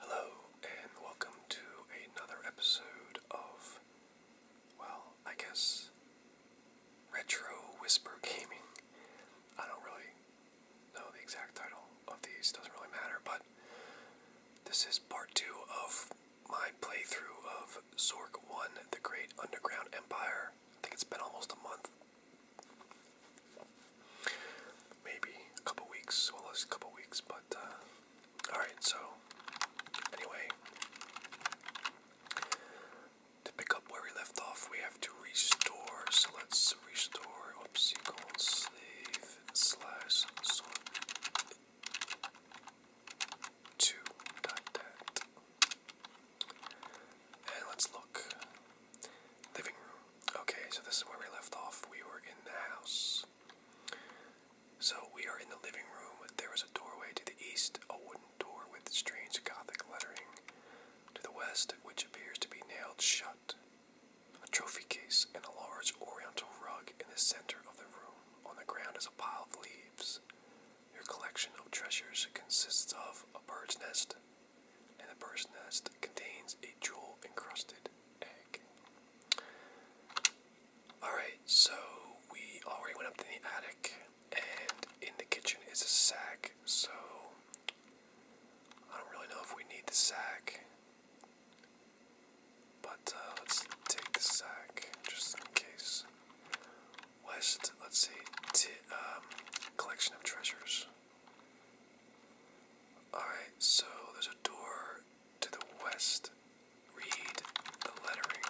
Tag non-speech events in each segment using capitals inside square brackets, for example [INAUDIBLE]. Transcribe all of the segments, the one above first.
Hello, and welcome to another episode of, well, I guess, Retro Whisper Gaming. I don't really know the exact title of these, doesn't really matter, but this is part two of my playthrough of Zork 1 The Great Underground Empire. I think it's been almost a month Maybe a couple weeks, well, a couple weeks, but uh, all right. So, anyway, to pick up where we left off, we have to restore. So let's restore. Oops, slave slash sort two dot that. And let's look. Living room. Okay, so this is where we left off. We were in the house. So we are in the living room. There is a doorway to the east, a wooden door with strange gothic lettering. To the west, which appears to be nailed shut. A trophy case and a large oriental rug in the center of the room. On the ground is a pile of leaves. Your collection of treasures consists of a bird's nest, and the bird's nest contains a jewel encrusted egg. Alright, so we already went up to the attic, and in the kitchen is a sack, so I don't really know if we need the sack. But uh, let's take the sack just in case. West, let's see, um, collection of treasures. Alright, so there's a door to the west. Read the lettering.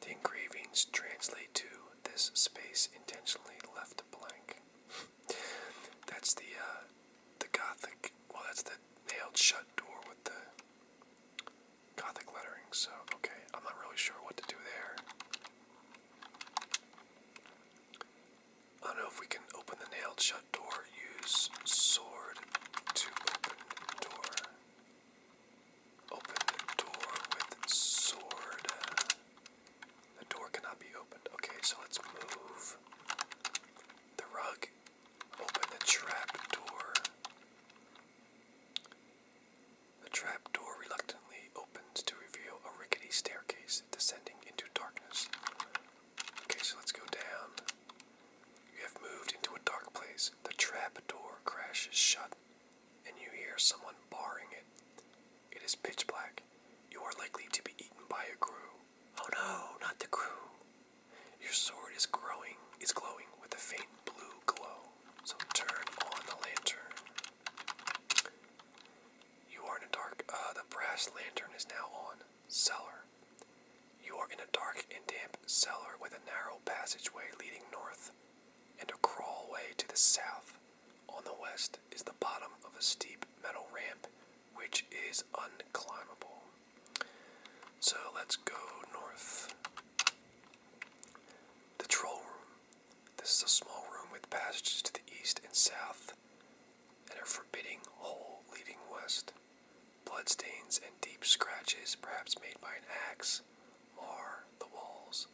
The engravings translate to this space intentionally left blank. [LAUGHS] that's the uh, the Gothic. Well, that's the nailed shut door with the Gothic lettering. So okay, I'm not really sure what to do there. I don't know if we can open the nailed shut door. Use sword to open door. Open the door with sword. The door cannot be opened. Okay, so let's move the rug. Open the trap door. The trap door reluctantly opens to reveal a rickety staircase descending into darkness. Okay, so let's go down. You have moved into a dark place. The trap crashes shut, and you hear someone barring it. It is pitch black. You are likely to be eaten by a crew. Oh no, not the crew. Your sword is growing is glowing with a faint blue glow. So turn on the lantern. You are in a dark. Uh, the brass lantern is now on. Cellar. You are in a dark and damp cellar with a narrow passageway leading north and a crawlway to the south. On the west is the bottom of a steep metal ramp which is unclimbable. So let's go north. The troll room. This is a small room with passages to the east and south, and a forbidding hole leading west. Bloodstains and deep scratches, perhaps made by an axe, mar the walls.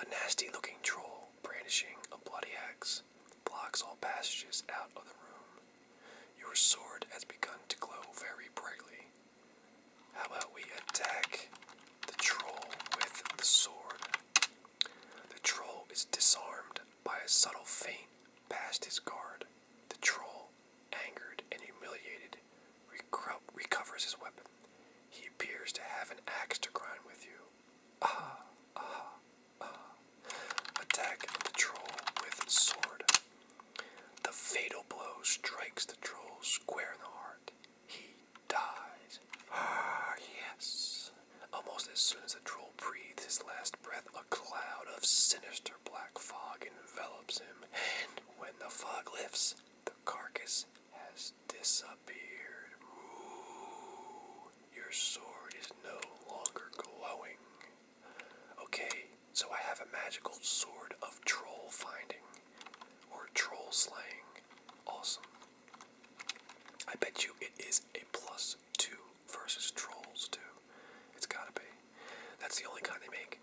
A nasty looking troll, brandishing a bloody axe, blocks all passages out of the room. Your sword has begun to glow very brightly. How about we attack the troll with the sword? The troll is disarmed by a subtle feint past his guard. The troll, angered and humiliated, recovers his weapon. He appears to have an axe to grind with you. Ah, ah, ah. Attack the troll with sword. The fatal blow strikes the troll square in the heart he dies. Ah, yes. Almost as soon as the troll breathes his last breath, a cloud of sinister black fog envelops him, and when the fog lifts, the carcass has disappeared. Ooh, your sword is no longer glowing. Okay, so I have a magical sword of troll finding or troll slaying. Awesome. I bet you it is a plus two versus trolls too. It's gotta be. That's the only kind they make.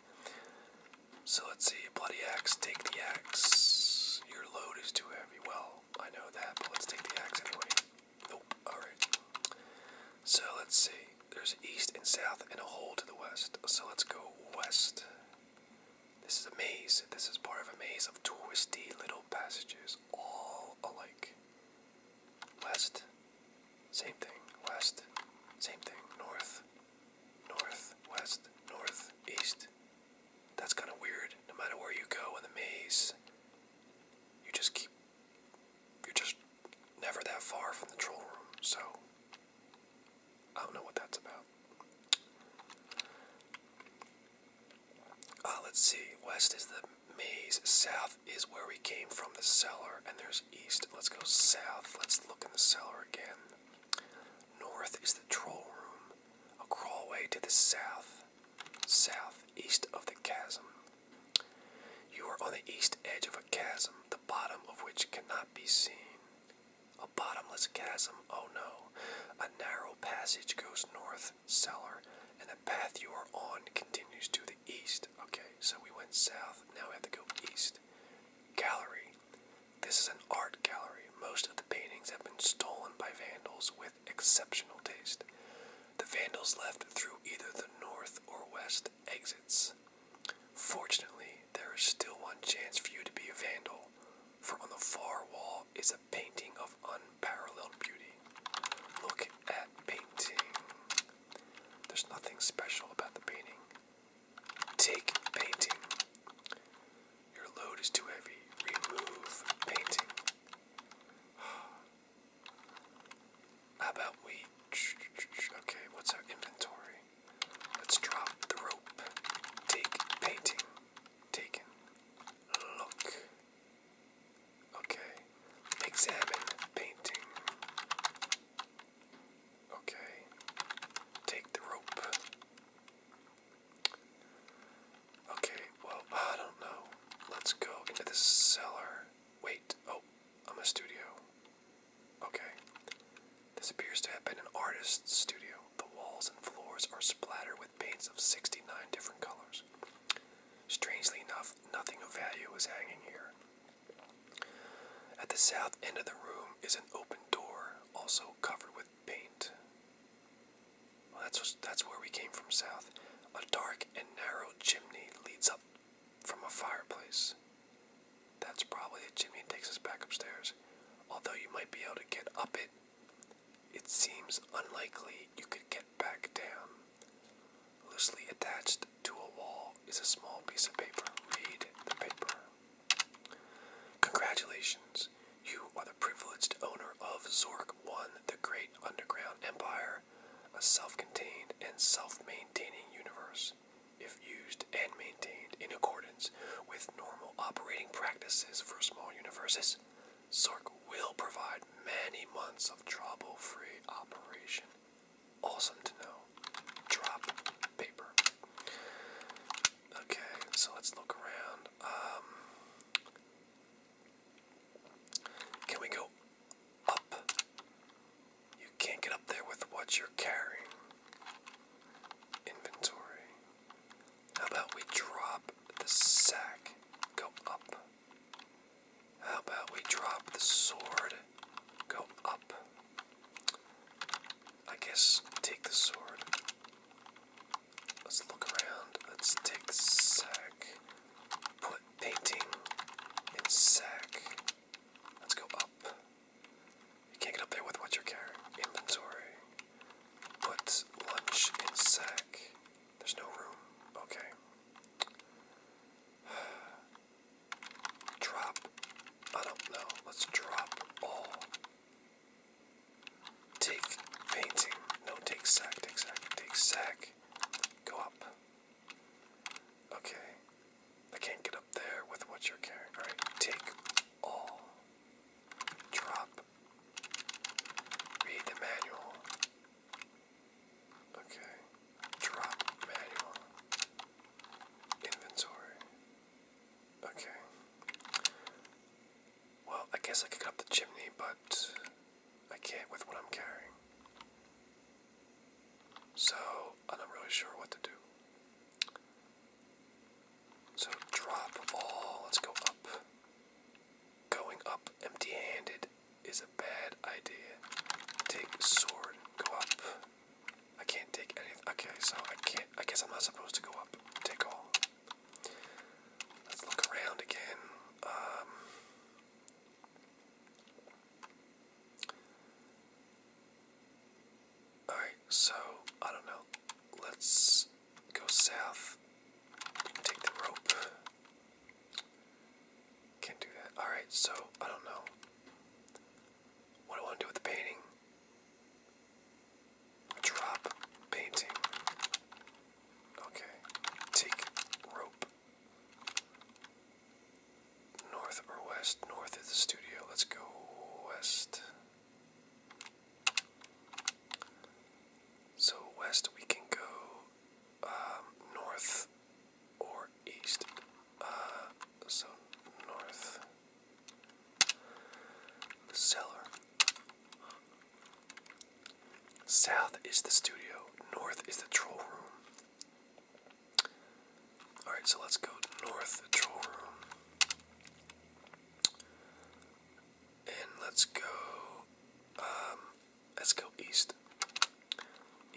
So let's see, bloody axe, take the axe. Your load is too heavy. Well, I know that, but let's take the axe anyway. Nope. Alright. So let's see. There's east and south and a hole to the west. So let's go west. This is a maze. This is part of a maze of twisty little passages, all alike. West, same thing. West, same thing. North, north, west, north, east. That's kind of weird. No matter where you go in the maze, you just keep. You're just never that far from the troll room, so I don't know what that's about. Uh, let's see. West is the maze. South is where we came from, the cellar. And there's east. Let's go south. Let's look in the cellar again. North is the troll room. A crawlway to the south. South, east of the chasm. You are on the east edge of a chasm, the bottom of which cannot be seen. A bottomless chasm, oh no. A narrow passage goes north, cellar, and the path you are on continues to the east. Okay, so we went south, now we have to go east. Gallery. This is an art gallery. Most of the paintings have been stolen by vandals with exceptional taste. The vandals left through either the north or west exits. Fortunately, there is still one chance for you to be a vandal for on the far wall is a painting of unparalleled beauty. Look at painting. There's nothing special about the painting. Take painting. Your load is too heavy. Remove painting. How about we? Okay, what's our inventory? Let's drop the rope. Take painting. Taken. Look. Okay. Examine painting. Okay. Take the rope. Okay, well, I don't know. Let's go into the cellar. Wait, oh, I'm a studio. Okay. This appears to have been an artist's studio. The walls and floors are splattered with paints of 69 different colors. Strangely enough, nothing of value is hanging here. At the south end of the room is an open door, also covered with paint. that's, that's where we came from south. A dark and narrow chimney leads up from a fireplace. That's probably a chimney and takes us back upstairs. Although you might be able to get up it, it seems unlikely you could get back down. Loosely attached to a wall is a small piece of paper. Read the paper. Congratulations. You are the privileged owner of Zork 1, the great underground empire, a self contained and self maintaining universe if used and maintained in accordance with normal operating practices for small universes, Sork will provide many months of trouble free operation. Awesome to know. Drop paper. Okay, so let's look around. Um, can we go up? You can't get up there with what you're carrying. Inventory. How about we drop the sack? Go up. How about we drop the sword? Go up. I guess take the sword. Let's look around. Let's take the sack. Put painting in sack. Let's go up. You can't get up there with what you're carrying. Inventory. Put lunch in sack. There's no room. Okay. [SIGHS] Drop. I don't know. Let's drop all. Take painting. No, take sack, take sack, take sack. Go up. Okay. I can't get up there with what you're carrying. All right, take all. Drop. Read the manual. Okay. Drop manual. Inventory. Okay. Well, I guess I could get up the chimney, but I can't with what I'm carrying. So, I'm not really sure what to do. So drop all. Let's go up. Going up empty handed is a bad idea. Take sword. Go up. I can't take anything. Okay, so I can't. I guess I'm not supposed to go up. Take all. Let's look around again. Um, Alright, so I don't know. Let's go south. Take the rope. Can't do that. Alright, so I don't know. What do I want to do with the painting? Drop painting. Okay. Take rope. North or west? North is the studio. Let's go west. So west we can go um, north or east. Uh, so north. The cellar. South is the studio. North is the troll room. Alright, so let's go north control room. And let's go um, let's go east.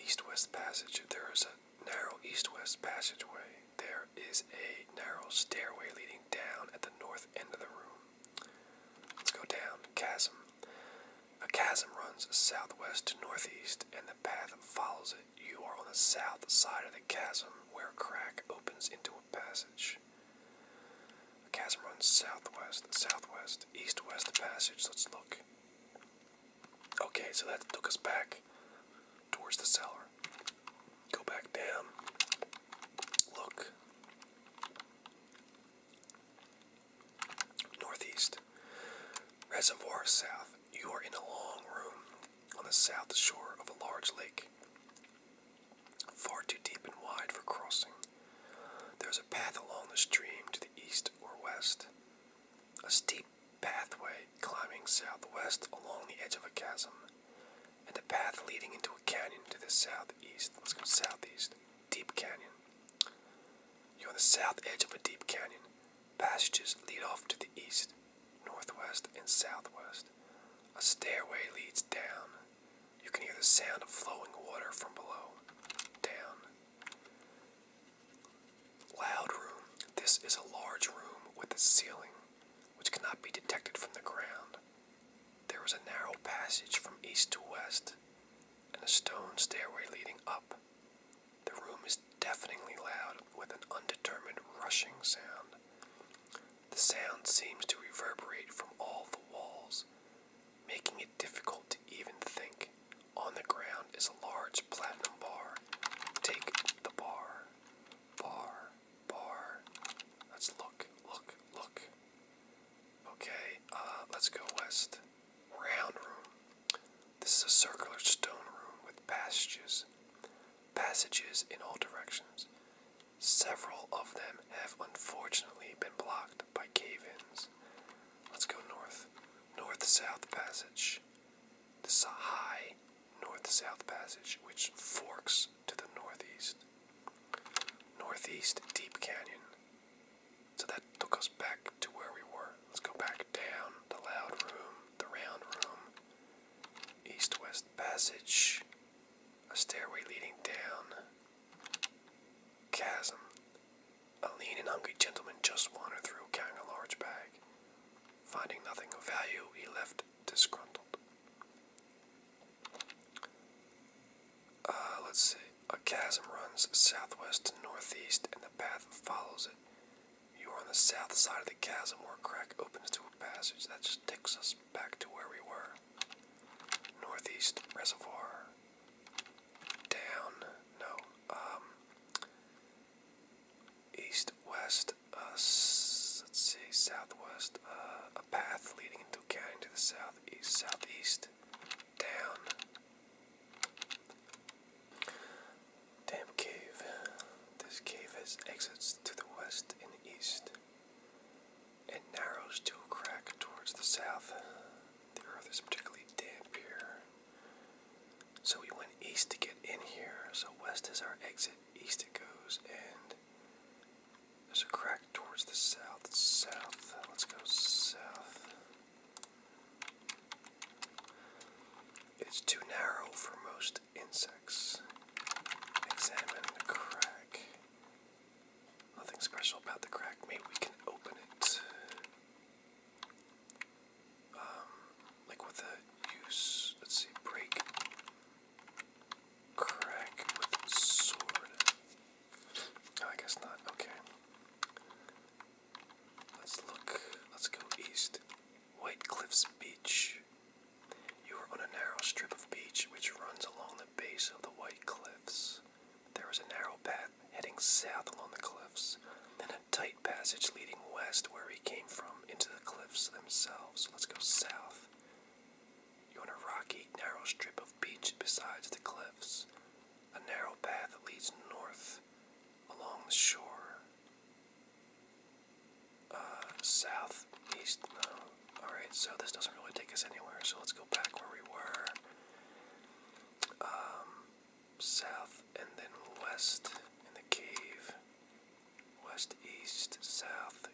East west passage. There is a narrow east west passageway. There is a narrow stairway leading down at the north end of the room. Let's go down. Chasm. A chasm runs southwest to northeast, and the path follows it you are on the south side of the chasm where a crack opens into a passage. The chasm runs southwest, southwest, east west passage. Let's look. Okay, so that took us back towards the cellar. Go back down. Look. Northeast. Reservoir south. You are in a long room on the south shore of a large lake, far too deep and wide for crossing. There is a path along the stream to the east or west, a steep pathway climbing southwest along the edge of a chasm, and a path leading into a canyon to the southeast. Let's go southeast. Deep canyon. You're on the south edge of a deep canyon. Passages lead off to the east, northwest, and southwest. A stairway leads down. You can hear the sound of flowing water from below. Down. Loud room. This is a large room with a ceiling, which cannot be detected from the ground. There is a narrow passage from east to west, and a stone stairway leading up. The room is deafeningly loud with an undetermined rushing sound. The sound seems to reverberate from all the walls, making it difficult to even think. On the ground is a large platinum bar. Take the bar. Bar. Bar. Let's look, look, look. Okay, uh, let's go west. Round room. This is a circular stone room with passages, passages in all directions. Several of them have unfortunately been blocked by cave-ins. Let's go north. North-south passage. This is high north-south passage which forks to the northeast. Northeast Deep Canyon. So that took us back to where we were. Let's go back down the loud room, the round room, east west passage, a stairway leading down, chasm. A lean and hungry gentleman just wandered through carrying a large bag. Finding nothing of value, he left disgruntled. Uh, let's see. A chasm runs southwest to northeast, and the path follows it. You are on the south side of the chasm where a crack opens to a passage that just takes us back to where we were. Northeast reservoir. Down. No. Um. East, west, uh, let's see, southwest, uh, a path leading into a canyon to the southeast, southeast, down, Damn cave. This cave has exits to the west and east. and narrows to a crack towards the south. The earth is particularly damp here. So we went east to get in here. So west is our exit, east it goes, and there's a crack towards the south. South. Let's go south. It's too narrow for most insects. Examine the crack. Nothing special about the crack. Maybe we can open it. Um, like with a use. Let's see. Break. Crack with sword. I guess not. Okay. Let's look. Let's go east. White Cliffs Beach. You are on a narrow strip of beach which runs along the base of the White Cliffs. There is a narrow path heading south along the cliffs, and a tight passage leading west where he came from into the cliffs themselves. Let's go south. You're on a rocky, narrow strip of beach beside the cliffs. A narrow path leads north along the shore. Uh, south, east, Alright, so this doesn't really take us anywhere, so let's go back where we were. Um, south and then west in the cave. West, east, south.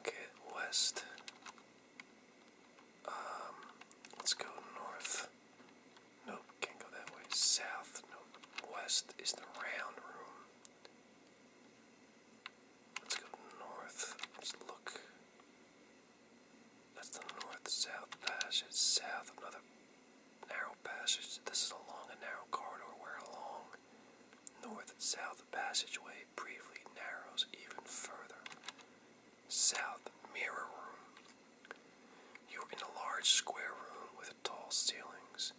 Okay, west. Um, let's go north. Nope, can't go that way. South, nope. West is the round room. Let's go north. let look. That's the north south passage. South, another narrow passage. This is along a narrow corridor where a long north south passageway briefly narrows even further south mirror room. You are in a large square room with tall ceilings.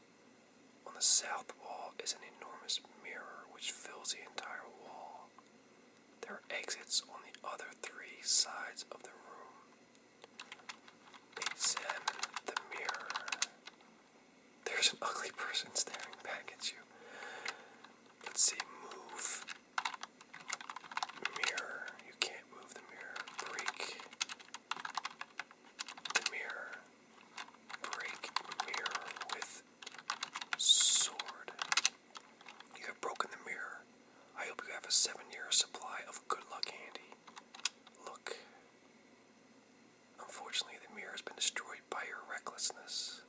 On the south wall is an enormous mirror which fills the entire wall. There are exits on the other three sides of the room. Examine the mirror. There's an ugly person staring back at you. Let's see, move Mirror. You can't move the mirror. Break the mirror. Break mirror with sword. You have broken the mirror. I hope you have a seven year supply of good luck handy. Look. Unfortunately, the mirror has been destroyed by your recklessness.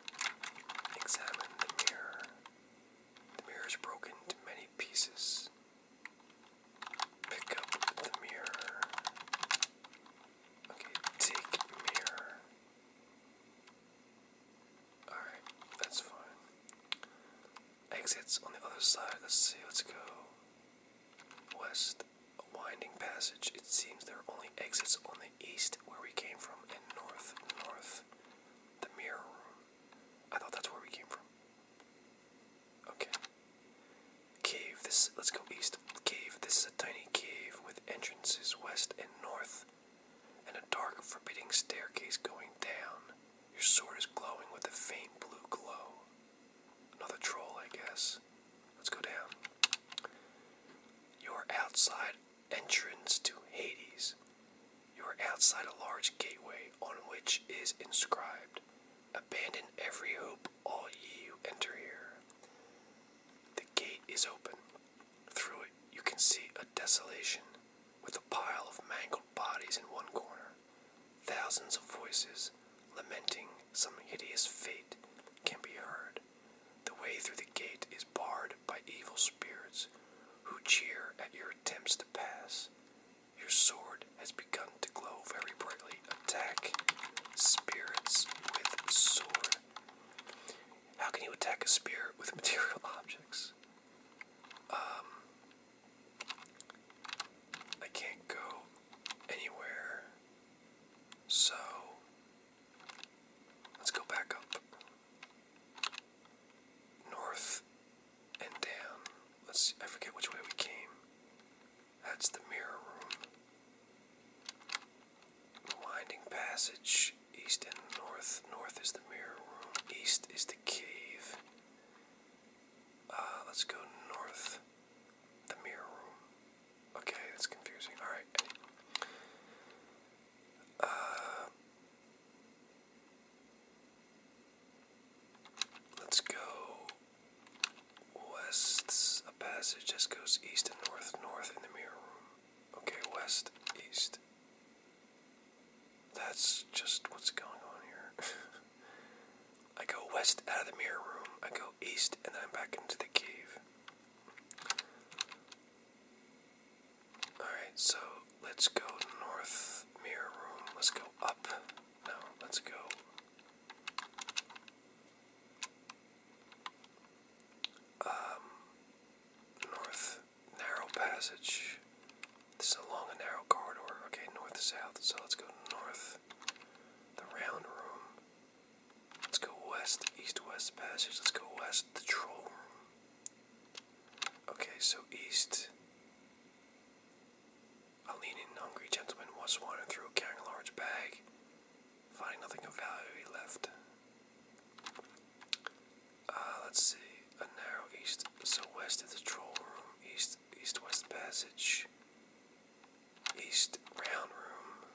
Examine the mirror. The mirror is broken into many pieces. Pick up the mirror. Okay, take mirror. Alright, that's fine. Exits on the other side. Let's see, let's go. West. A winding passage. It seems there are only exits on the east where we came from and north, north. The mirror I thought that's where we came from. Okay. Cave. This. Let's go east. Cave. This is a tiny cave with entrances west and north, and a dark, forbidding staircase going down. Your sword is glowing with a faint blue glow. Another troll, I guess. Let's go down. You're outside entrance to Hades. You are outside a large gateway on which is inscribed, Abandon every hope, all ye who enter here. The gate is open. Through it you can see a desolation with a pile of mangled bodies in one corner. Thousands of voices lamenting some hideous fate can be heard, the way through the gate is barred by evil spirits who cheer at your attempts to pass. Your sword has begun to glow very brightly. Attack spirits with sword. How can you attack a spirit with [LAUGHS] material objects? Um, I can't go anywhere. So, Let's go back up. North and down. Let's see, I forget which way we came. That's the mirror room. Winding passage. East and north. North is the mirror room. East is the cave. Uh, let's go north. The mirror room. Okay, that's confusing. Alright. Uh, let's go west. A passage just goes east and north, north in the mirror room. Okay, west, east. That's just what's going on here. [LAUGHS] I go west out of the mirror room, I go east, and then I'm back into the cave. Alright, so let's go north mirror room. Let's go up. No, let's go. Um, north narrow passage. This is along a narrow corridor. Okay, north south. So let's go north. The round room. Let's go west, east-west passage. Let's go west, the troll room. Okay, so east. A leaning, hungry gentleman was wandering through carrying a large bag. Finding nothing of value, he left. Ah, let's see. A narrow east, so west is the troll room. East, east-west passage. East round room.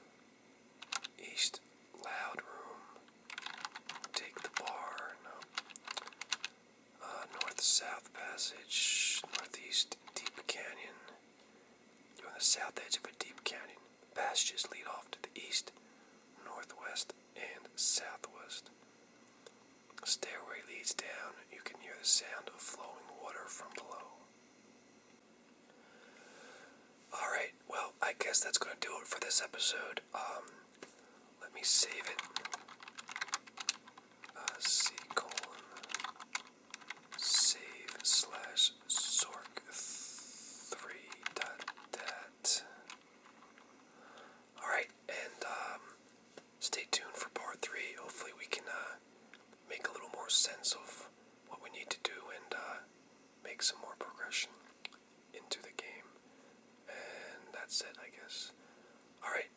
East loud room. Take the bar. Uh, north south passage. Northeast deep canyon. You're on the south edge of a deep canyon. Passages lead off to the east, northwest, and southwest. stairway leads down. You can hear the sound of flowing water from below. Alright, well, I guess that's going to do it for this episode. Um, let me save it. Uh, colon save slash sork three dot dat. Alright, and um, stay tuned for part three. Hopefully, we can uh, make a little more sense of what we need to do and uh, make some more progression into the game. And that's it, I guess. Alright,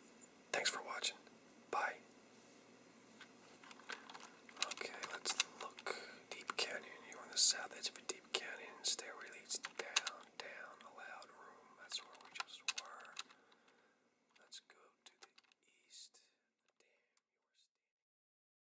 thanks for watching. Bye. Okay, let's look. Deep Canyon, you're on the south edge of deep canyon. Stairway leads down, down, a loud room. That's where we just were. Let's go to the east.